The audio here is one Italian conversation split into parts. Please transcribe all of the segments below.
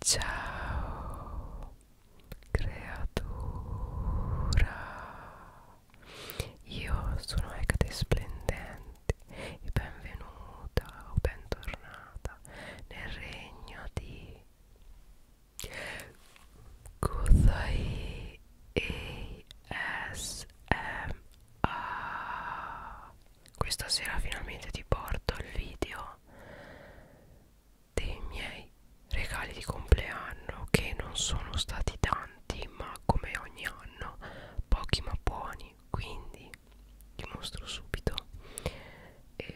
Ciao creatura, io sono Ecate Splendente e benvenuta o bentornata nel regno di Kuzai ASMR. Questa sera finalmente ti porto il video dei miei regali di compleanno che non sono stati tanti ma come ogni anno pochi ma buoni quindi vi mostro subito e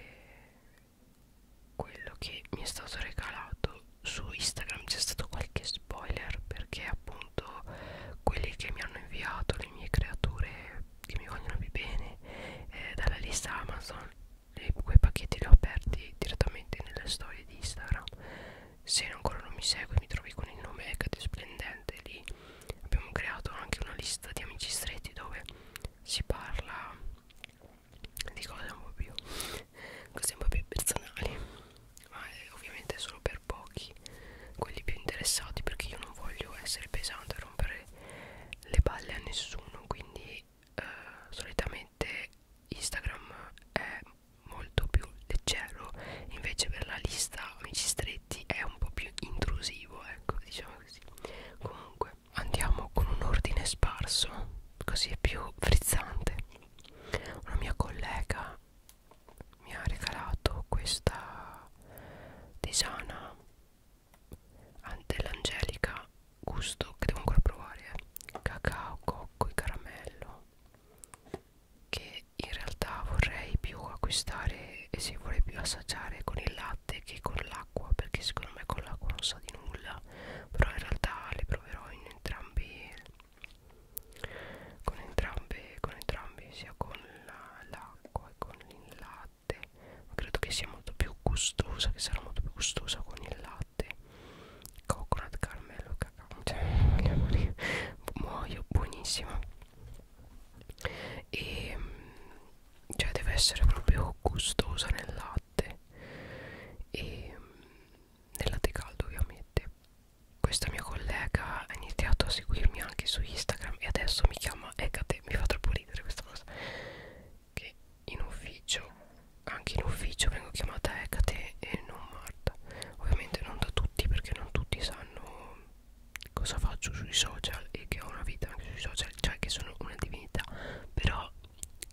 quello che mi è stato regalato su Instagram c'è stato qualche spoiler perché appunto quelli che mi hanno inviato le mie creature che mi vogliono più bene eh, dalla lista Amazon e quei pacchetti li ho aperti direttamente nelle storie di Instagram se ancora non mi segui mi trovi con il nome Ecate Splendente lì abbiamo creato anche una lista di amici stretti dove si parla di cose un po' più cose un po' più personali ma è ovviamente solo per pochi quelli più interessati perché io non voglio essere pesante rompere dare le palle a nessuno quindi eh, solitamente Instagram è molto più leggero invece per la lista amici stretti è un po' più intrusivo ecco diciamo così comunque andiamo con un ordine sparso così è più frizzante una mia collega mi ha regalato questa tisana dell'angelica gusto che devo ancora provare eh. cacao, cocco e caramello che in realtà vorrei più acquistare e se vorrei più assaggiare con il latte che con l'acqua perché secondo me con l'acqua non sa di nulla però in realtà le proverò in entrambi con entrambe con entrambi sia con l'acqua la, che con il latte latte ma credo che sia molto più gustosa che sarà molto più gustosa con il latte coconut caramello cacao cioè, muoio buonissima e mm, cioè deve essere proprio gustosa nel latte e mm, nel latte caldo ovviamente questa mia collega ha iniziato a seguirmi anche su Instagram e adesso mi chiama Ecate, mi fa troppo ridere questa cosa che in ufficio anche in ufficio vengo chiamata Ecate e non Marta ovviamente non da tutti perché non tutti sanno cosa faccio sui social e che ho una vita anche sui social cioè che sono una divinità però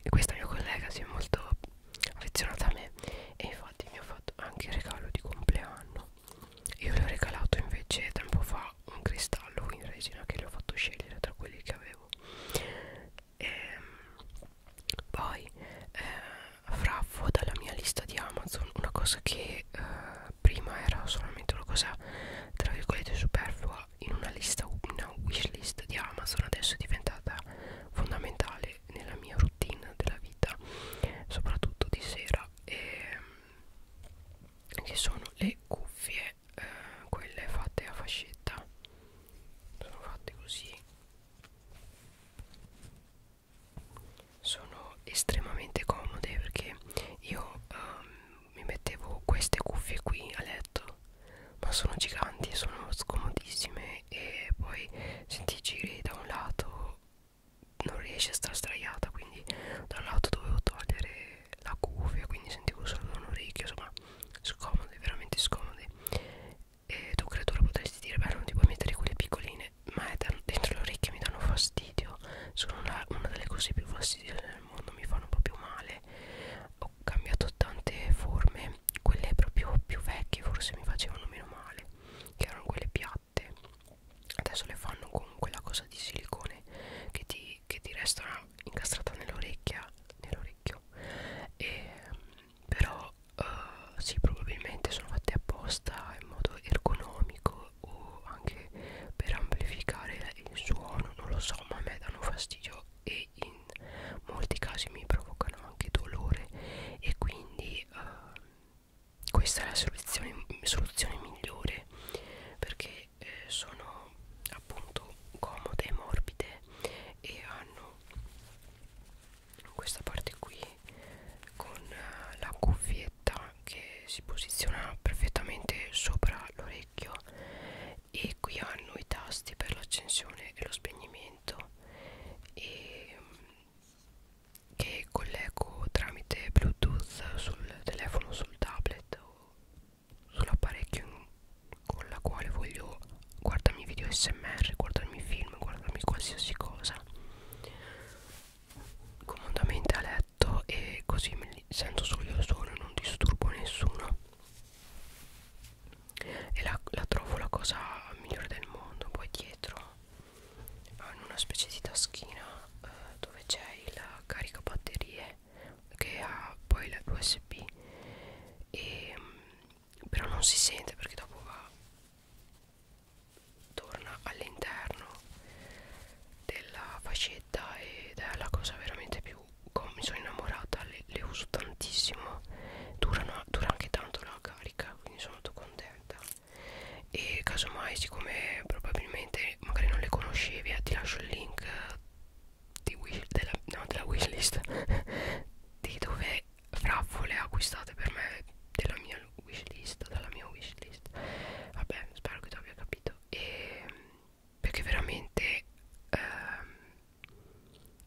questa mia collega si è molto affezionata a me e infatti mi ha fatto anche il regalo di compleanno io le ho regalato invece tempo fa un cristallo in resina che le ho fatto scegliere tra quelli che avevo e, ehm, Poi eh, Fravo dalla mia lista di Amazon una cosa che eh, prima era solamente una cosa tra virgolette superflua in una lista, una wishlist di Amazon adesso è diventata fondamentale nella mia routine della vita soprattutto di sera e ehm, che sono le cuffie eh, quelle fatte a fascetta sono fatte così sono estremamente comode perché io um, mi mettevo queste cuffie qui a letto ma sono giganti sono scomodissime e poi se ti giri da un lato non riesce a stare sdraiata quindi dall'auto dovevo togliere la cuffia quindi sentivo solo un orecchio insomma scomodi veramente scomodi e tu credo lo potresti dire beh non ti puoi mettere quelle piccoline ma è dentro le orecchie mi danno fastidio sono una, una delle cose più fastidiose del mondo mi fanno proprio male ho cambiato tante forme quelle proprio più vecchie forse mi facevano meno male che erano quelle piatte latte adesso le fanno con quella cosa di silicone che ti, che ti resta incastrata nell'orecchia nell'orecchio però uh, sì probabilmente sono fatte apposta in modo ergonomico o anche per amplificare il suono non lo so ma a me danno fastidio e in molti casi mi provocano anche dolore e quindi uh, questa è la soluzione, soluzione migliore perché eh, sono appunto comode, morbide e hanno questa parte qui con eh, la cuffietta che si posiziona perfettamente sopra l'orecchio e qui hanno i tasti per l'accensione e lo spegnimento e mm, che collego tramite bluetooth sul telefono sul tablet o sull'apparecchio con la quale voglio guardarmi video smr guardarmi film guardarmi qualsiasi cosa comodamente a letto e così mi sento solo io solo e non disturbo nessuno e la, la trovo la cosa migliore del mondo poi dietro hanno una specie di taschina eh, dove c'è il caricabatterie che ha poi la USB e, mm, però non si sente perché dopo va torna all'interno della fascetta ed è la cosa veramente più mi sono innamorata le, le uso tantissimo Durano, dura anche tanto la carica quindi sono molto contenta e casomai siccome probabilmente magari non le conoscevi eh, ti lascio il link di wish, della, no, della wishlist di dove fraffole acquistate per me della mia wishlist dalla mia wishlist vabbè spero che tu abbia capito e perché veramente ehm,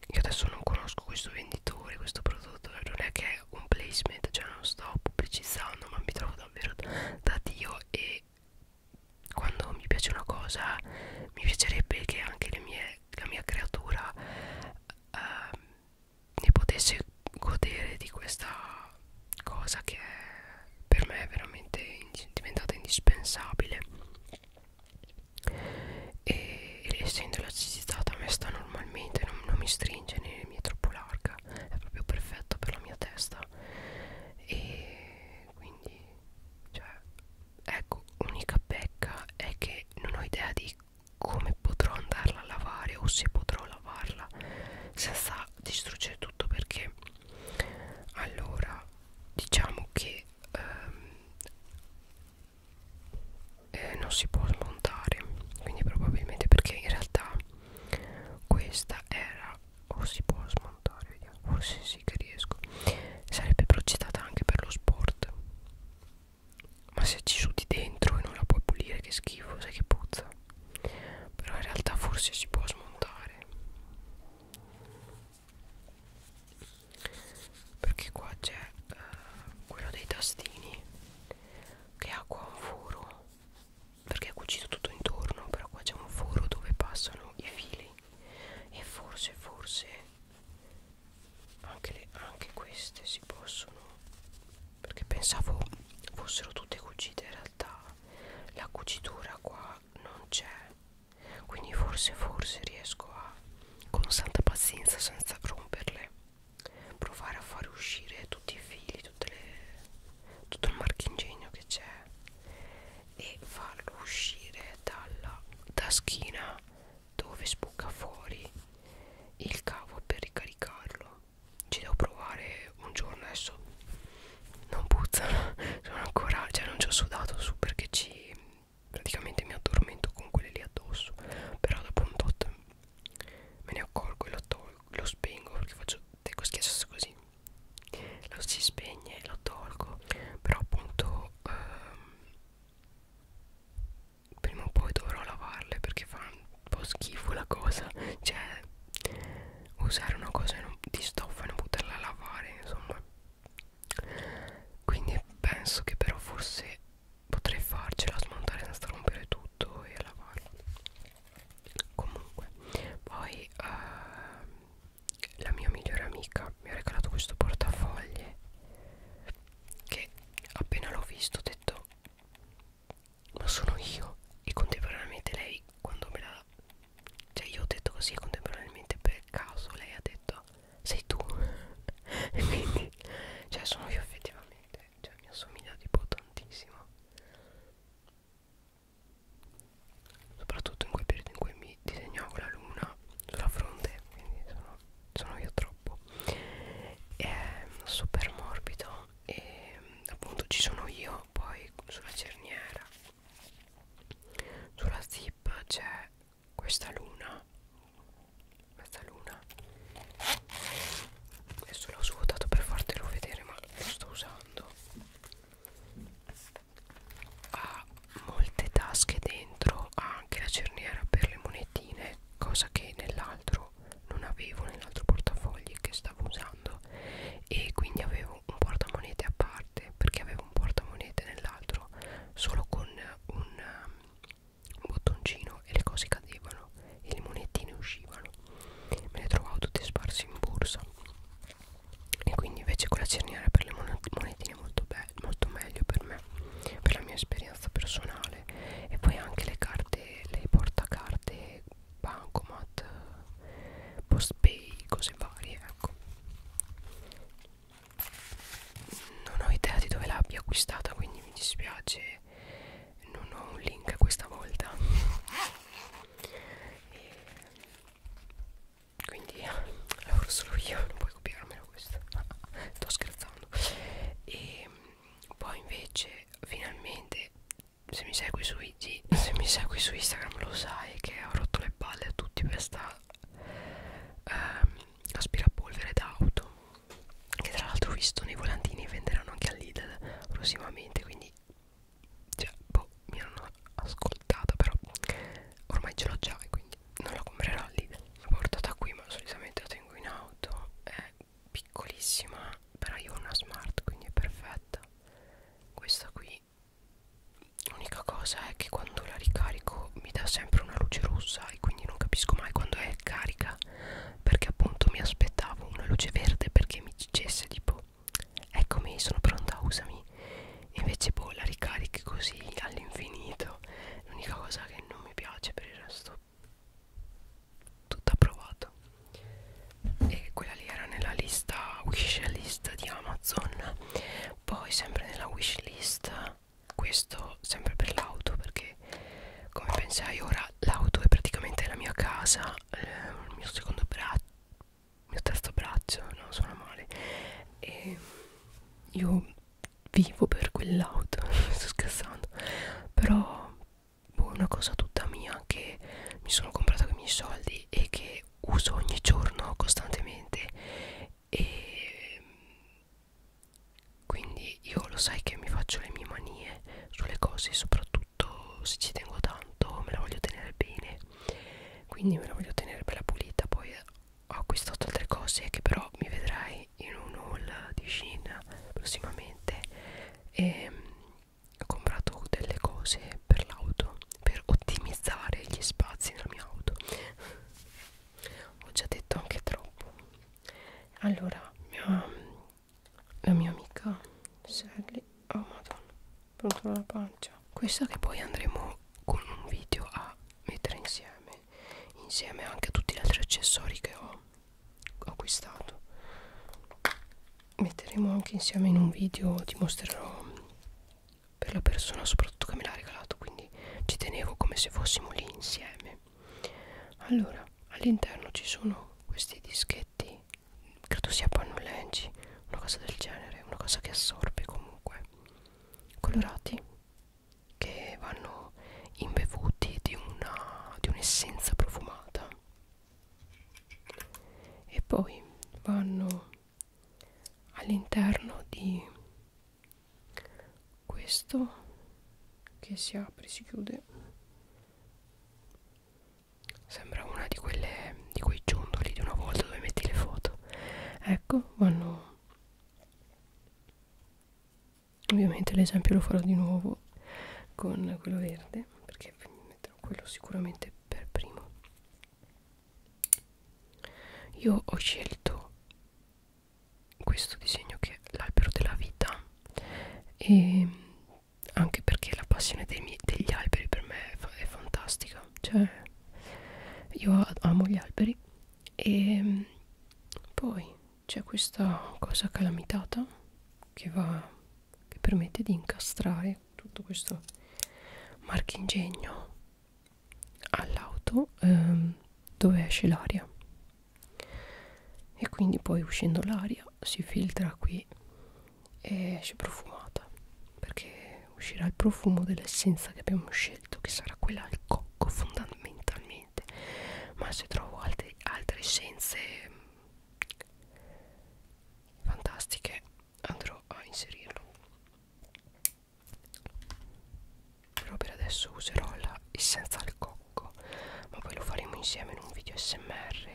io adesso non conosco questo venditore questo prodotto non è che è un placement cioè non sto pubblicizzando ma mi trovo davvero da dio e quando mi piace una cosa mi piacerebbe che anche le mie, la mia creatura eh, ne potesse godere di questa cosa che per me è veramente in, diventata indispensabile e, e essendo elasticitata a me sta normalmente non, non mi stringe né mi è troppo larga è proprio perfetta per la mia testa e quindi cioè ecco unica pecca è che non ho idea di come potrò andarla a lavare o se potrò lavarla senza distruggere tutto perché allora diciamo che ehm, eh, non si può smontare quindi probabilmente perché in realtà questa era o si può smontare vediamo forse sì che riesco sarebbe progettata anche per lo sport ma se ci sudi dentro e non la puoi pulire che schifo sai che puzza però in realtà forse si può smontare perché qua c'è eh, quello dei tastini che ha qua un foro perché è cucito tutto intorno però qua c'è un foro dove passano i fili e forse forse anche, le, anche queste si possono perché pensavo fossero tutte cucite in realtà la cucitura qua non c'è quindi forse forse riesco a con santa pazienza senza romperle provare a far uscire tutti i fili, tutte le, tutto il marchingegno che c'è e farlo uscire dalla taschina dove spucca fuori il cavo per ricaricarlo ci devo provare un giorno adesso non puzzano sono ancora cioè non ci ho sudato su perché ci praticamente mi addormento con quelle lì addosso però dopo un tot me ne accorgo e lo tolgo lo spengo perché faccio deco schiacciasse così lo si spegne e lo tolgo però appunto ehm, prima o poi dovrò lavarle perché fa un po' schifo la cosa cioè usare una cosa di stoffa e non poterla lavare insomma quindi penso che però forse potrei farcela smontare senza rompere tutto e lavarla comunque poi uh, la mia migliore amica mi ha regalato questo portafoglie che appena l'ho visto ho detto ma sono io e contemporaneamente lei quando me l'ha cioè io ho detto così contemporaneamente per caso lei ha detto sei tu e quindi cioè sono io effettivamente veramente cioè, mi assomiglia tipo tantissimo soprattutto in quel periodo in cui mi disegnavo la luna sulla fronte quindi sono, sono io troppo è super morbido e appunto ci sono io poi sulla cerniera sulla zip c'è questa luna mezzaluna adesso l'ho svuotato per fartelo vedere ma lo sto usando ha molte tasche dentro ha anche la cerniera per le monetine cosa che nell'altro non avevo nell'altro portafogli che stavo usando e quindi avevo un portamonete a parte perché avevo un portamonete nell'altro solo con un un bottoncino e le cose cadevano e le monettine uscivano me le trovavo tutte sparse in borsa e quindi invece quella cerniera per le monetine è molto, molto meglio per me per la mia esperienza personale e poi anche le carte le portacarte bancomat postpay cose varie ecco non ho idea di dove l'abbia acquistata quindi mi dispiace non ho un link questa volta e quindi lavoro solo io non puoi copiarmelo questo sto scherzando e poi invece finalmente se mi segui su IG se mi segui su Instagram lo sai che ho rotto le palle a tutti per sta um, aspirapolvere d'auto che tra l'altro ho visto nei volantini venderanno anche al Lidl prossimamente quindi cioè boh mi hanno ascoltata però ormai ce l'ho già e quindi non la comprerò al Lidl l'ho portata qui ma solitamente la tengo in auto è piccolissima però io ho una smart quindi è perfetta questa qui l'unica cosa è che quando la ricarico mi dà sempre una luce rossa e quindi non capisco mai quando è carica perché appunto mi aspettavo una luce verde perché mi dicesse tipo eccomi sono pronta usami invece boh la ricarichi così all'infinito l'unica cosa che non mi piace per il resto tutto approvato e quella lì era nella lista wishlist di Amazon poi sempre nella wishlist questo sempre per l'auto perché come pensai ora l'auto è praticamente la mia casa ehm, il mio secondo braccio il mio terzo braccio no suona male e io vivo per quell'auto sto scherzando però boh, una cosa tutta mia che mi sono comprata con i miei soldi e che uso ogni giorno costantemente e quindi io lo sai che mi faccio le mie manie sulle cose soprattutto se ci tengo tanto me la voglio tenere bene quindi me la voglio tenere bella pulita poi ho acquistato altre cose che però mi vedrai in un haul di Shein prossimamente e mm, ho comprato delle cose per l'auto per ottimizzare gli spazi nella mia auto ho già detto anche troppo allora um, la mia amica Sally oh madonna pronto la pancia questa che poi andremo con un video a mettere insieme insieme anche a tutti gli altri accessori che ho acquistato metteremo anche insieme in un video ti mostrerò per la persona soprattutto che me l'ha regalato quindi ci tenevo come se fossimo lì insieme allora all'interno ci sono questi dischetti credo sia pannolenci una cosa del genere una cosa che assorbe comunque colorati che vanno imbevuti di un'essenza di un profumata e poi vanno all'interno di questo che si apre si chiude sembra una di quelle di quei ciondoli di una volta dove metti le foto ecco vanno ovviamente l'esempio lo farò di nuovo con quello verde perché metterò quello sicuramente per primo io ho scelto questo disegno che è l'albero della vita e anche perché la passione miei, degli alberi per me è, fa è fantastica cioè io amo gli alberi e poi c'è questa cosa calamitata che va che permette di incastrare tutto questo marchingegno all'auto ehm, dove esce l'aria e quindi poi uscendo l'aria si filtra qui e esce profumata perché uscirà il profumo dell'essenza che abbiamo scelto che sarà quella al cocco fondamentalmente ma se trovo altri, altre essenze mm, fantastiche andrò a inserirlo però per adesso userò la essenza al cocco ma poi lo faremo insieme in un video smr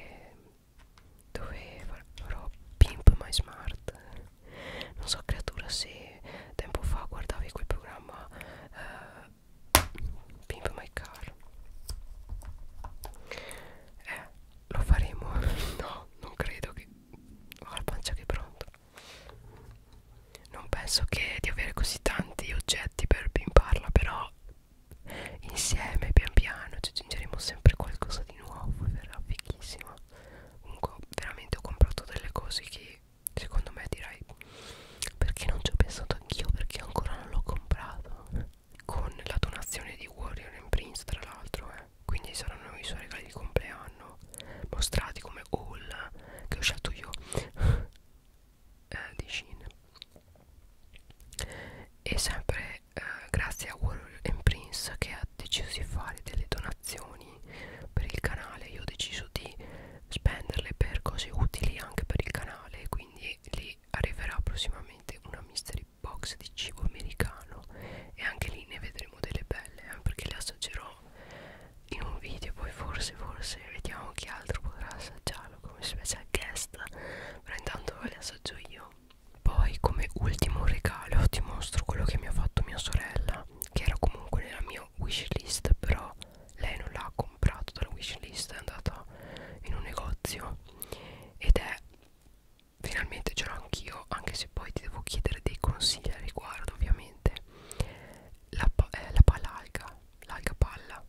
dove farò pimp my smart non so creatura se tempo fa guardavi quel programma uh, pimp my car eh lo faremo no non credo che ho la pancia che è pronta non penso che di avere così tanti oggetti per pimparla però insieme pian piano ci aggiungeremo sempre qualcosa di nuovo e verrà fighissima comunque veramente ho comprato delle cose che secondo me direi perché non ci ho pensato anch'io perché ancora non l'ho comprato con la donazione di Warrior and Prince tra l'altro eh. quindi saranno i suoi regali di compleanno mostrati come haul che ho scelto io eh, di Shein e sempre eh, grazie a Warrior Prince che ha deciso di fare delle donazioni per il canale io ho deciso di spenderle per cose utili anche per il canale quindi lì arriverà prossimamente una mystery box di cibo americano e anche lì ne vedremo delle belle eh, perché le assaggerò assaggerò in un video poi forse forse vediamo chi altro potrà assaggiarlo come special guest però intanto le assaggio io poi come ultimo regalo ti mostro quello che mi ha fatto mia sorella che era comunque nella mia wishlist però lei non l'ha comprato dalla wishlist è andata in un negozio ed è finalmente ce l'ho anch'io anche se poi ti devo chiedere dei consigli al riguardo ovviamente la, pa eh, la palalga l'alcapalla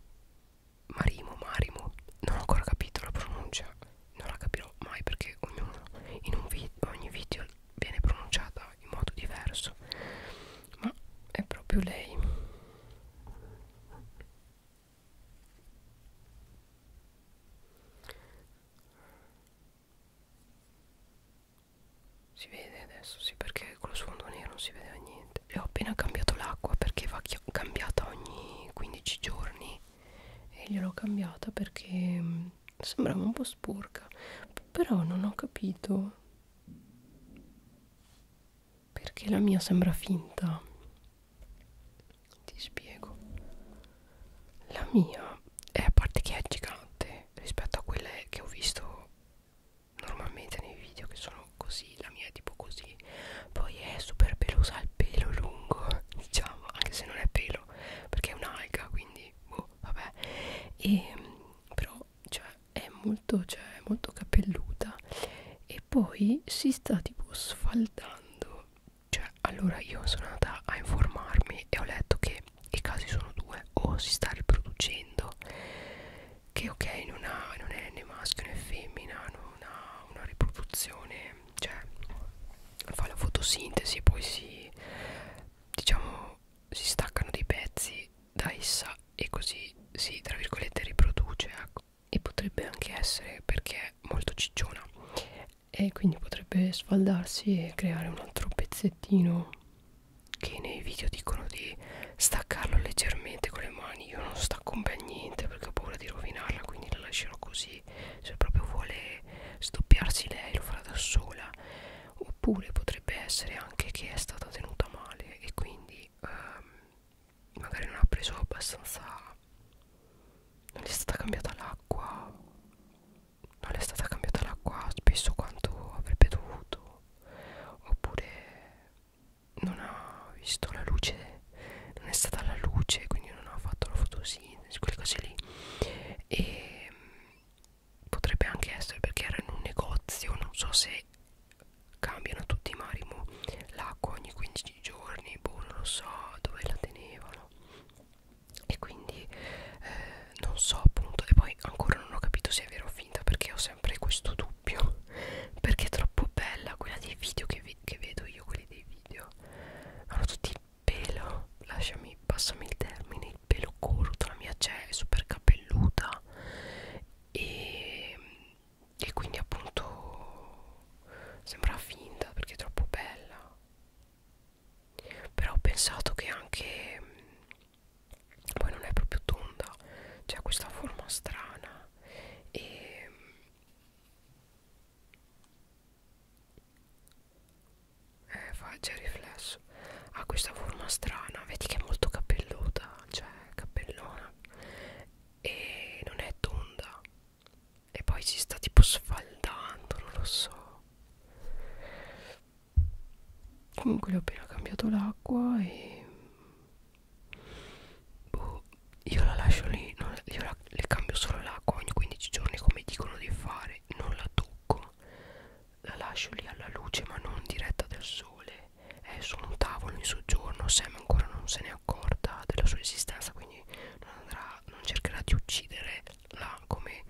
Marimo, Marimo, non ho ancora capito la pronuncia, non la capirò mai perché ognuno in un vi ogni video viene pronunciata in modo diverso, ma è proprio lei. Si vede adesso, sì, perché con lo sfondo nero non si vedeva niente. E ho appena cambiato l'acqua perché va cambiata ogni 15 giorni. E gliel'ho cambiata perché mm, sembrava un po' sporca. Però non ho capito perché la mia sembra finta. Ti spiego. La mia è a parte che è gigante rispetto a quelle che ho visto normalmente nei video che sono così la mia è tipo così poi è super pelosa il pelo lungo diciamo anche se non è pelo perché è un'alga quindi boh vabbè e ehm, però cioè è molto cioè è molto capelluta e poi si sta tipo sfaldando cioè allora io sono andata a informarmi e ho letto che i casi sono due o si sta riproducendo che ok non, ha, non è né maschio né femmina non ha una riproduzione cioè fa la fotosintesi e poi si diciamo si staccano dei pezzi da essa e così si tra virgolette riproduce ecco. e potrebbe anche essere perché è molto cicciona e quindi potrebbe sfaldarsi e creare un altro pezzettino che nei video dicono di staccarlo leggermente con le mani io non stacco un bel niente perché ho paura di rovinarla quindi la lascerò così se proprio vuole stoppiarsi lei lo farà da sola oppure potrebbe essere anche che è stata tenuta male e quindi ehm, magari non ha preso abbastanza non è stata cambiata l'acqua non è stata cambiata l'acqua spesso quanto avrebbe dovuto oppure non ha visto la luce non è stata alla luce quindi non ha fatto la fotosintesi quelle cose lì e mm, potrebbe anche essere perché era in un negozio non so se cambiano tutti i marimo l'acqua ogni 15 giorni boh non lo so dove la tenevano e quindi eh, non so appunto e poi ancora non ho capito se è vero o finta perché ho sempre questo dubbio perché è troppo bella quella dei video che, vi che vedo io quelli dei video hanno tutti il pelo lasciami passami il termine il pelo corto la mia c'è cioè è super capelluta e, e quindi appunto sembra finta perché è troppo bella però ho pensato che anche poi non è proprio tonda c'è questa forma strana e eh, fa già riflesso ha questa forma strana vedi che è molto capelluta cioè cappellona e non è tonda e poi si sta tipo sfaldando non lo so comunque le ho appena cambiato l'acqua e boh, io la lascio lì non, io la, le cambio solo l'acqua ogni 15 giorni come dicono di fare non la tocco la lascio lì alla luce ma non diretta del sole è su un tavolo in soggiorno Sam ancora non se ne accorta della sua esistenza quindi non andrà non cercherà di uccidere la ma come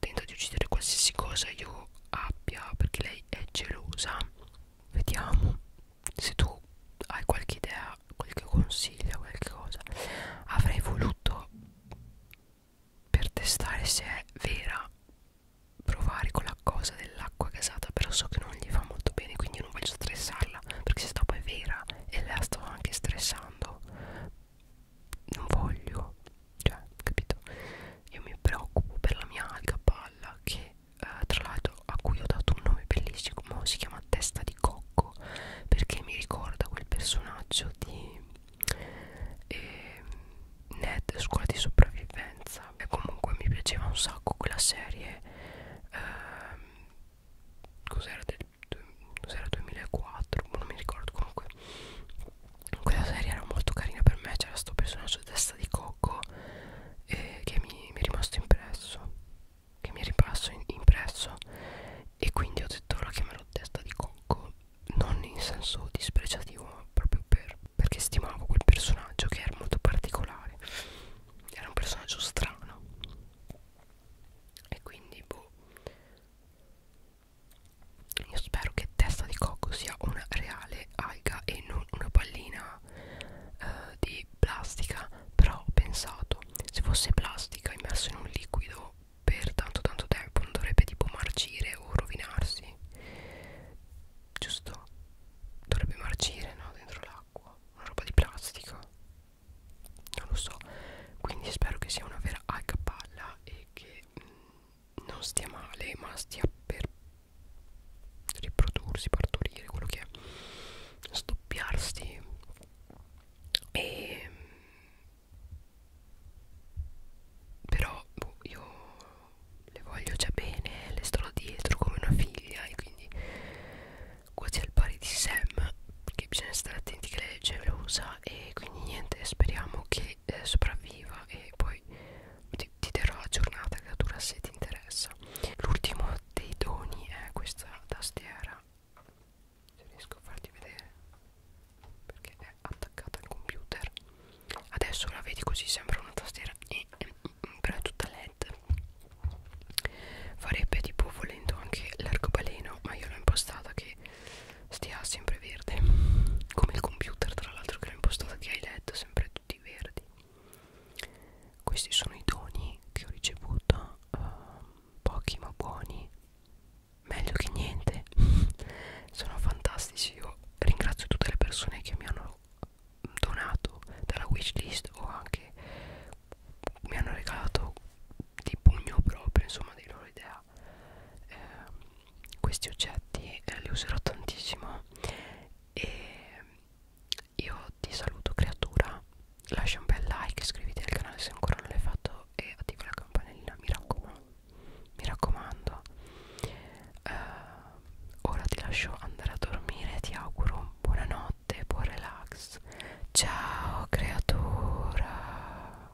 tenta di uccidere qualsiasi cosa io abbia perché lei è gelosa vediamo se tu hai qualche idea qualche consiglio qualche cosa avrei voluto per testare se è vera provare con la cosa dell'acqua gasata però so che non gli fa molto bene quindi non voglio stressarla perché se dopo è vera e la sto anche stressando non voglio cioè capito io mi preoccupo per la mia alga palla che eh, tra l'altro a cui ho dato un nome bellissimo si chiama testa di cocco perché mi ricorda quel personaggio di eh, Ned scuola di sopravvivenza e comunque mi piaceva un sacco quella serie eh, cos'era del cos'era 2004 non mi ricordo comunque quella serie era molto carina per me c'era sto personaggio testa di cocco eh, che mi, mi è rimasto impresso che mi è rimasto in, impresso e quindi ho detto la chiamerò testa di cocco non in senso dispregiativo ma proprio per, perché stimavo quel personaggio che era molto particolare era un personaggio strano e quindi boh io spero che testa di cocco sia una reale alga e non una pallina eh, di plastica Però ho pensato, se fosse plastica immersa in un liquido per tanto tanto tempo non dovrebbe tipo marcire o rovinarsi Giusto? Dovrebbe marcire, no? Dentro l'acqua Una roba di plastica Non lo so Quindi spero che sia una vera alga palla e che mh, mm, non stia male ma stia per riprodursi, partorire, quello che è stoppiarsi e però boh, io le voglio già bene, le sto dietro come una figlia e quindi quasi al pari di Sam che bisogna stare attenti che lei è gelosa e quindi niente speriamo che magari eh, sopravviva e poi ti, ti darò la giornata che dura se ti interessa l'ultimo dei doni è questa tastiera se riesco a farti vedere perché è attaccata al computer adesso la vedi così sembra una tastiera e, e, mm, però è tutta led farebbe tipo volendo anche l'arcobaleno ma io l'ho impostata che stia sempre verde come il computer tra l'altro che l'ho impostata che hai letto sempre tutti verdi questi sono i doni che ho ricevuto eh, pochi ma buoni meglio che niente sono fantastici io ringrazio tutte le persone che mi hanno donato dalla wishlist o anche mi hanno regalato di pugno proprio insomma dei loro idee idea eh, questi oggetti eh, li userò tantissimo e io ti saluto creatura lascia un bel like iscriviti al canale se ancora non l'hai fatto e attiva la campanellina mi raccomando mi raccomando eh, ora ti lascio andare a dormire ti auguro buonanotte buon relax ciao creatura